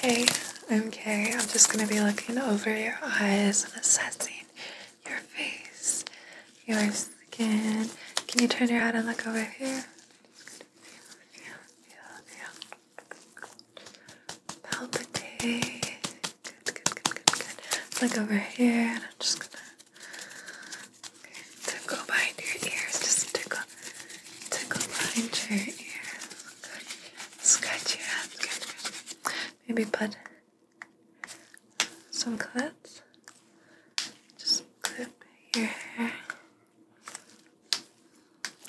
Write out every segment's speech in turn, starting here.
Hey, I'm Carrie. I'm just gonna be looking over your eyes and assessing your face, your skin. Can you turn your head and look over here? Feel, feel, feel. Palpitate. Good, good, good, good, good. Look over here, and I'm just gonna tickle behind your ears. Just tickle, tickle behind your ears. Scratch good. Maybe put some clips. Just clip your hair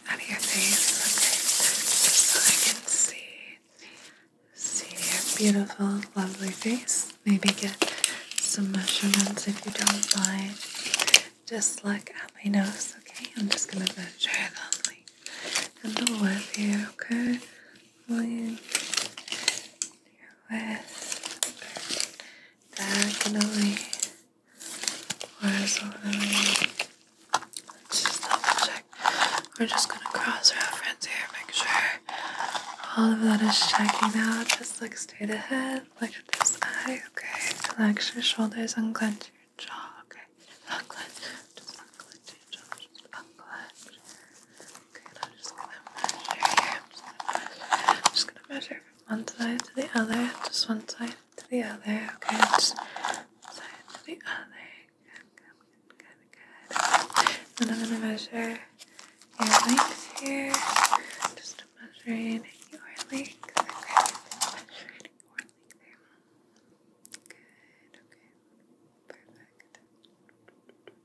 out of your face. Okay. Just so I can see see your beautiful, lovely face. Maybe get some measurements if you don't mind just look at my nose, okay? I'm just gonna measure them like and the width here, okay? Length, your width, diagonally, horizontally. Let's just double check. We're just gonna cross-reference here, make sure all of that is checking out. Just look straight ahead lift this eye, okay? Relax your shoulders, and unclench your jaw, okay? Just unclench, just unclench your just unclench. Okay, I'm just gonna measure here. I'm just gonna measure from one side to the other, just one side to the other, okay? Just one side to the other. Good, good, good, good. And I'm gonna measure your legs here. Just just measuring your legs. Okay, measuring your leg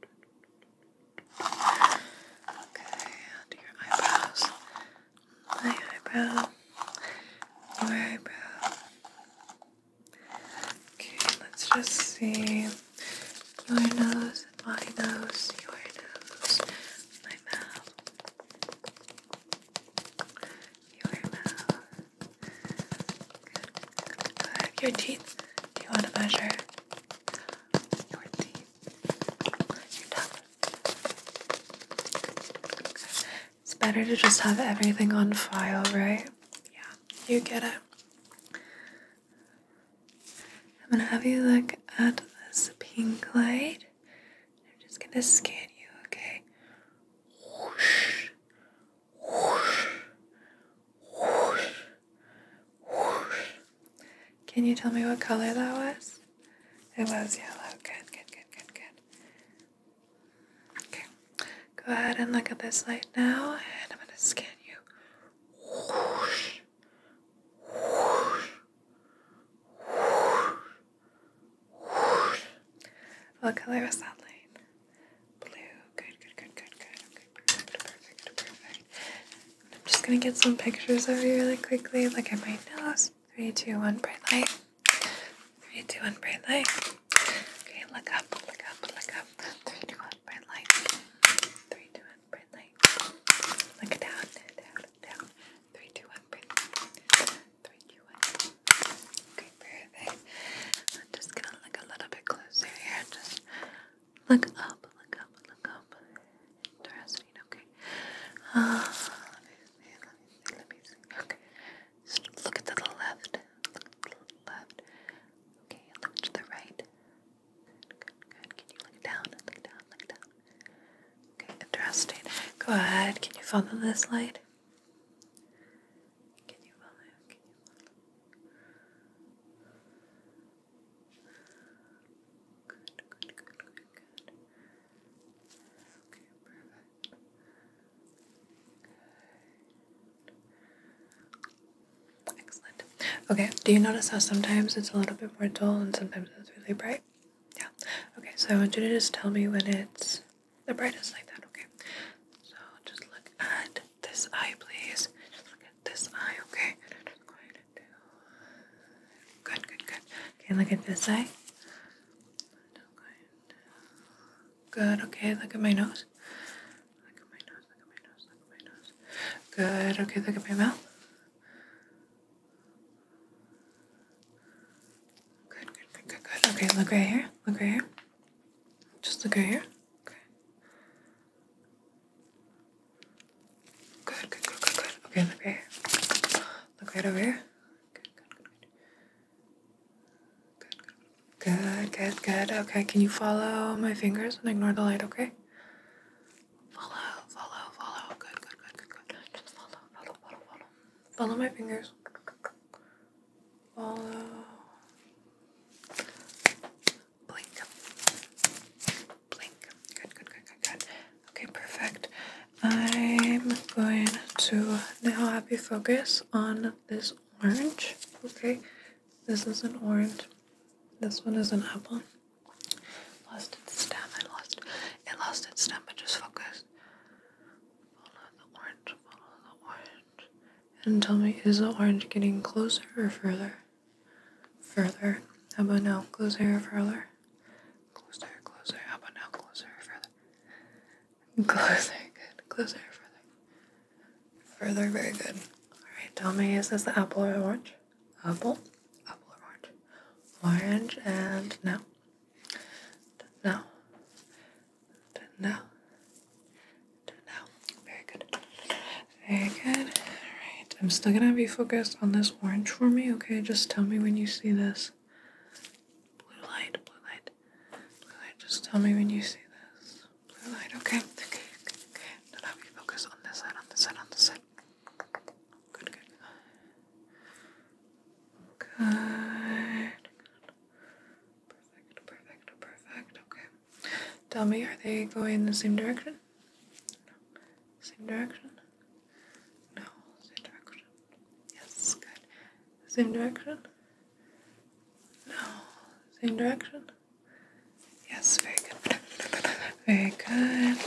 Good, okay, perfect. Okay, onto your eyebrows. My eyebrow. Your eyebrow. Okay, let's just see your nose, my nose, your nose, my mouth, your mouth. Your teeth. you want to measure your teeth? Your tongue. It's better to just have everything on file, right? Yeah, you get it. I'm gonna have you look at this pink light. I'm just gonna scan you, okay? Whoosh, whoosh, whoosh, whoosh. Can you tell me what color that was? It was yellow. Good, good, good, good, good. Okay. Go ahead and look at this light now, and I'm gonna scan you. Whoosh. What color was that light? Blue. Good, good, good, good, good. Okay, perfect, perfect, I'm just gonna get some pictures of you really quickly. Like at my nose. Three, two, one, bright light. Three, two, one, bright light. Okay, look up, look up, look up. Three, two, one, bright light. Three, two, one, bright light. Look down, down, down. Three, two, one, Three, two, one. Okay, perfect. I'm just gonna look a little bit closer here. Just look up, look up, look up. Interesting, okay. Ah, let me see, let me see, let me see. Okay. Just look to the left. left. Okay, look to the right. Good. Can you look down? Look down. Look down. Okay. Interesting. Go ahead. Can you follow this light? Can you follow? Can you follow? Good. Good. Good. Good. Okay. Excellent. Okay, do you notice how sometimes it's a little bit more dull and sometimes it's really bright? Yeah. Okay, so I want you to just tell me when it's the brightest like that, okay? So just look at this eye, please. Just look at this eye, okay? And I'm going Good, good, good. Okay, look at this eye. Good, okay, look at my nose. Look at my nose, look at my nose, look at my nose. Good, okay, look at my mouth. Good, good, good, good, good. Okay, look right here. Look right here. Just look right here. Okay. Good, good, good, good, good. Okay, look right here. Look right over here. Good, good, good, good. Good, good, good. Okay, can you follow my fingers and ignore the light, okay? Follow, follow, follow. Good, good, good, good, good. Just follow, follow, follow, follow. Follow my fingers. Follow. Blink. Blink. Good, good, good, good, good. Okay, perfect. I'm going to now have you focus on this orange. Okay, this is an orange. This one is an apple. Lost its stem. It lost. It lost its stem. But just focus. Follow the orange. Follow the orange. And tell me, is the orange getting closer or further? Further. How about now? Closer or further? Closer. Closer. How about now? Closer or further? Closer. Good. Closer or further? Further. Very good. All right. Tell me, is this the apple or the orange? apple, apple orange, orange and no, now, now, now. Very good, very good. All right, I'm still gonna be focused on this orange for me, okay? Just tell me when you see this blue light, blue light, blue light. Just tell me when you see this blue light, okay? Okay, okay, Now have focus on this side, on this side, on this side. Good, good. Good. Perfect, perfect, perfect. Okay. Tell me, are they going in the same direction? No. Same direction? No. Same direction. Yes, good. Same direction? No. Same direction? Yes, very good. Very good.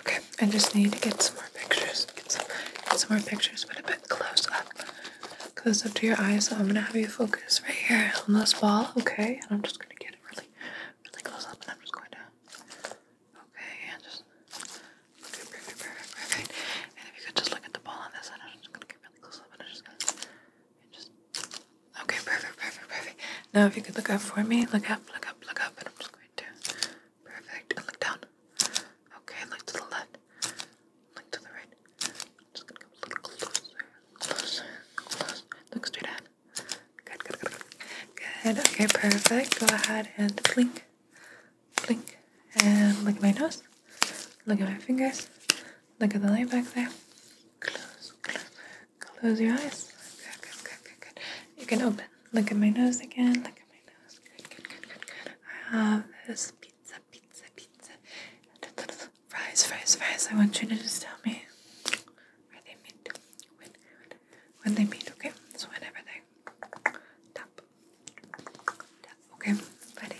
Okay, I just need to get some more pictures. Get some, get some more pictures, but a bit close up. Close up to your eyes. So I'm gonna have you focus right here on this ball, okay? And I'm just gonna get it really, really close up, and I'm just going to. Okay, and just. Okay, perfect, perfect, And if you could just look at the ball on this I'm just gonna really close up and I'm just gonna and just Okay, perfect, perfect, perfect. Now if you could look up for me, look up, look up, look up, and I'm just going to perfect and look down. Okay, look to the left. Look to the right. I'm just gonna come a little closer. Closer, closer. Look straight ahead. Good, good, good, good. Good. Okay, perfect. Go ahead and blink blink, and look at my nose, look at my fingers, look at the light back there, close, close, close your eyes, good, good, good, good, good, you can open, look at my nose again, look at my nose, good, good, good, good, good, I have this pizza, pizza, pizza, fries, fries, fries, I want you to just tell me where they meet, when, when they meet, okay, so whenever they tap, Okay, buddy.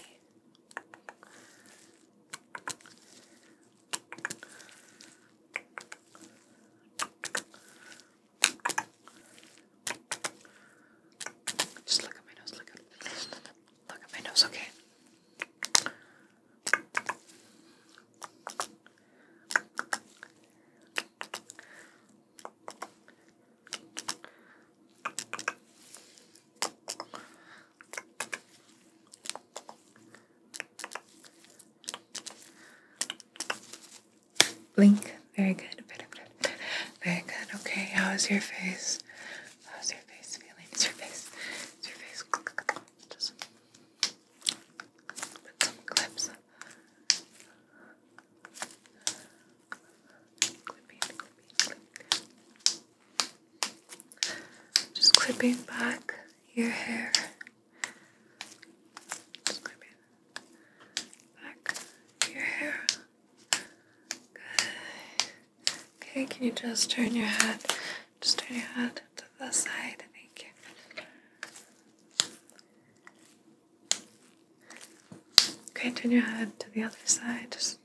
Just look at my nose, look at look at my nose, Okay. Blink. Very good. Very good. Okay. How is your face? How's your face feeling? Is your face? Is your face? Just some clips. Just clipping back your hair. Just clipping back your hair. Good. Okay, can you just turn your head? Just turn your head to the side. Thank you. Okay, turn your head to the other side. Just,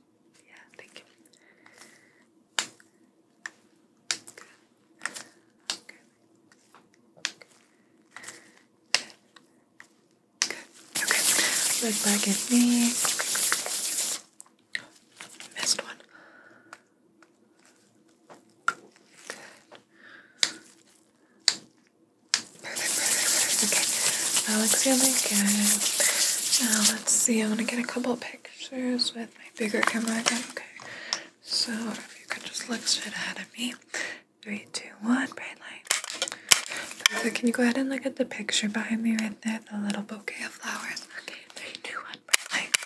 yeah, thank you. Look back at me. missed one. Perfect, perfect, perfect. Okay, that looks really good. Now let's see, I want to get a couple pictures with my bigger camera again. Okay, so if you could just look straight ahead at me. Three, two, one, bright light. Perfect, can you go ahead and look at the picture behind me right there, the little bouquet of flowers? Okay, three, two, one, bright light.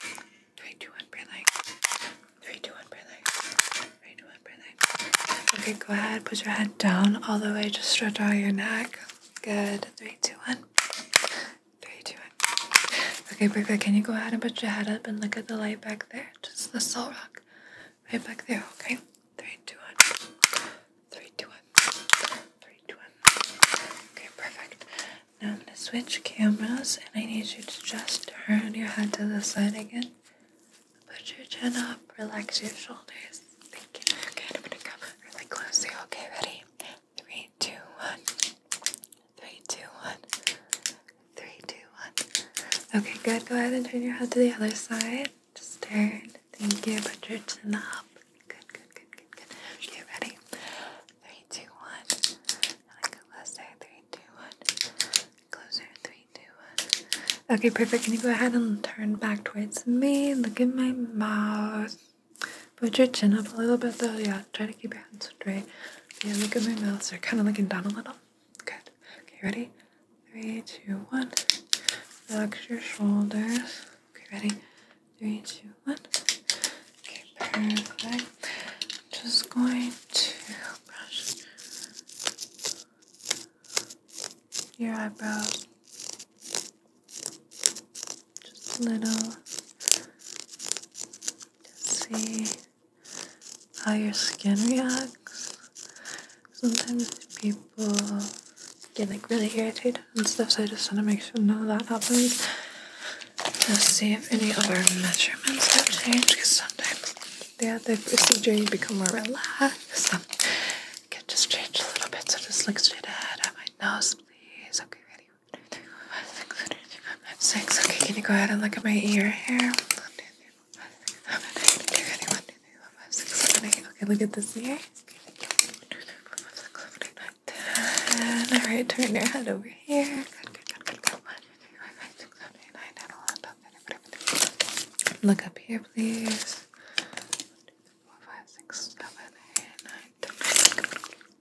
Three, two, one, bright light. Three, two, one, bright light. Right, one breathing. Okay, go ahead. Put your head down all the way. Just stretch out your neck. Good. Three, two, one. Three, two, one. Okay, perfect. Can you go ahead and put your head up and look at the light back there? Just the soul rock. Right back there, okay? Three, two, one. Three, two, one. Three, two, one. Okay, perfect. Now I'm gonna switch cameras and I need you to just turn your head to the side again. Put your chin up, relax your shoulders. Thank you. Okay, I'm gonna come really close to you. Okay, ready? Three, two, one. Three, two, one. Three, two, one. Okay, good. Go ahead and turn your head to the other side. Just turn. Thank you. Put your chin up. Good, good, good, good, good. Okay, ready? Three, two, one. And I go closer. Three, two, one. Closer. Three, do it. Okay, perfect. Can you go ahead and turn back towards me? Look at my mouth. Put your chin up a little bit though. Yeah, try to keep your head straight. Yeah, look at my mouth. So you're kind of looking down a little. Good. Okay, ready? Three, two, one. Relax your shoulders. Okay, ready? Three, two, one. Okay, perfect. just going to brush your eyebrows. Just a little. Just see how your skin reacts. Sometimes people get like really irritated and stuff, so I just want to make sure none of that happens. Just see if any other measurements have changed because sometimes yeah, the procedure become more relaxed um, can just change a little bit so just look straight ahead at my nose please okay ready one, two, three, one, six, one, two, three, one, six okay can you go ahead and look at my ear here Okay, look at this ear. All right, turn your head over here. Good, good, good, Look up here, please.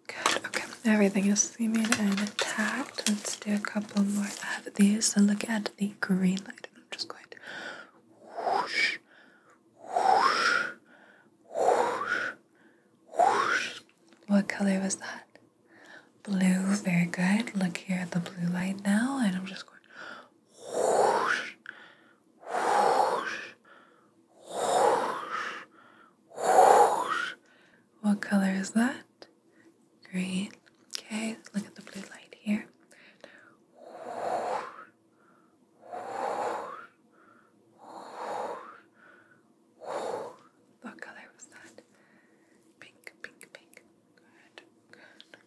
Good. Okay. Everything is seamed and intact. Let's do a couple more of these. So look at the green light. I'm just going What color was that? Blue, very good. Look here at the blue light now, and I'm just going whoosh, whoosh, whoosh, whoosh. What color is that? Green. Okay, look at the blue light here. What color was that? Pink, pink, pink. Good, good,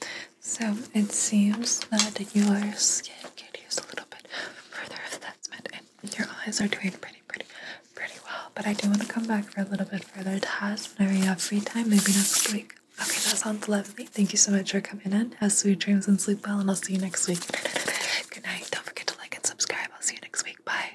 good. So it seems that your skin could use a little bit further advancement, and your eyes are doing pretty, pretty, pretty well. But I do want to come back for a little bit further tasks whenever you uh, have free time, maybe next week. Okay, that sounds lovely. Thank you so much for coming in. Have sweet dreams and sleep well, and I'll see you next week. Good night. Don't forget to like and subscribe. I'll see you next week. Bye.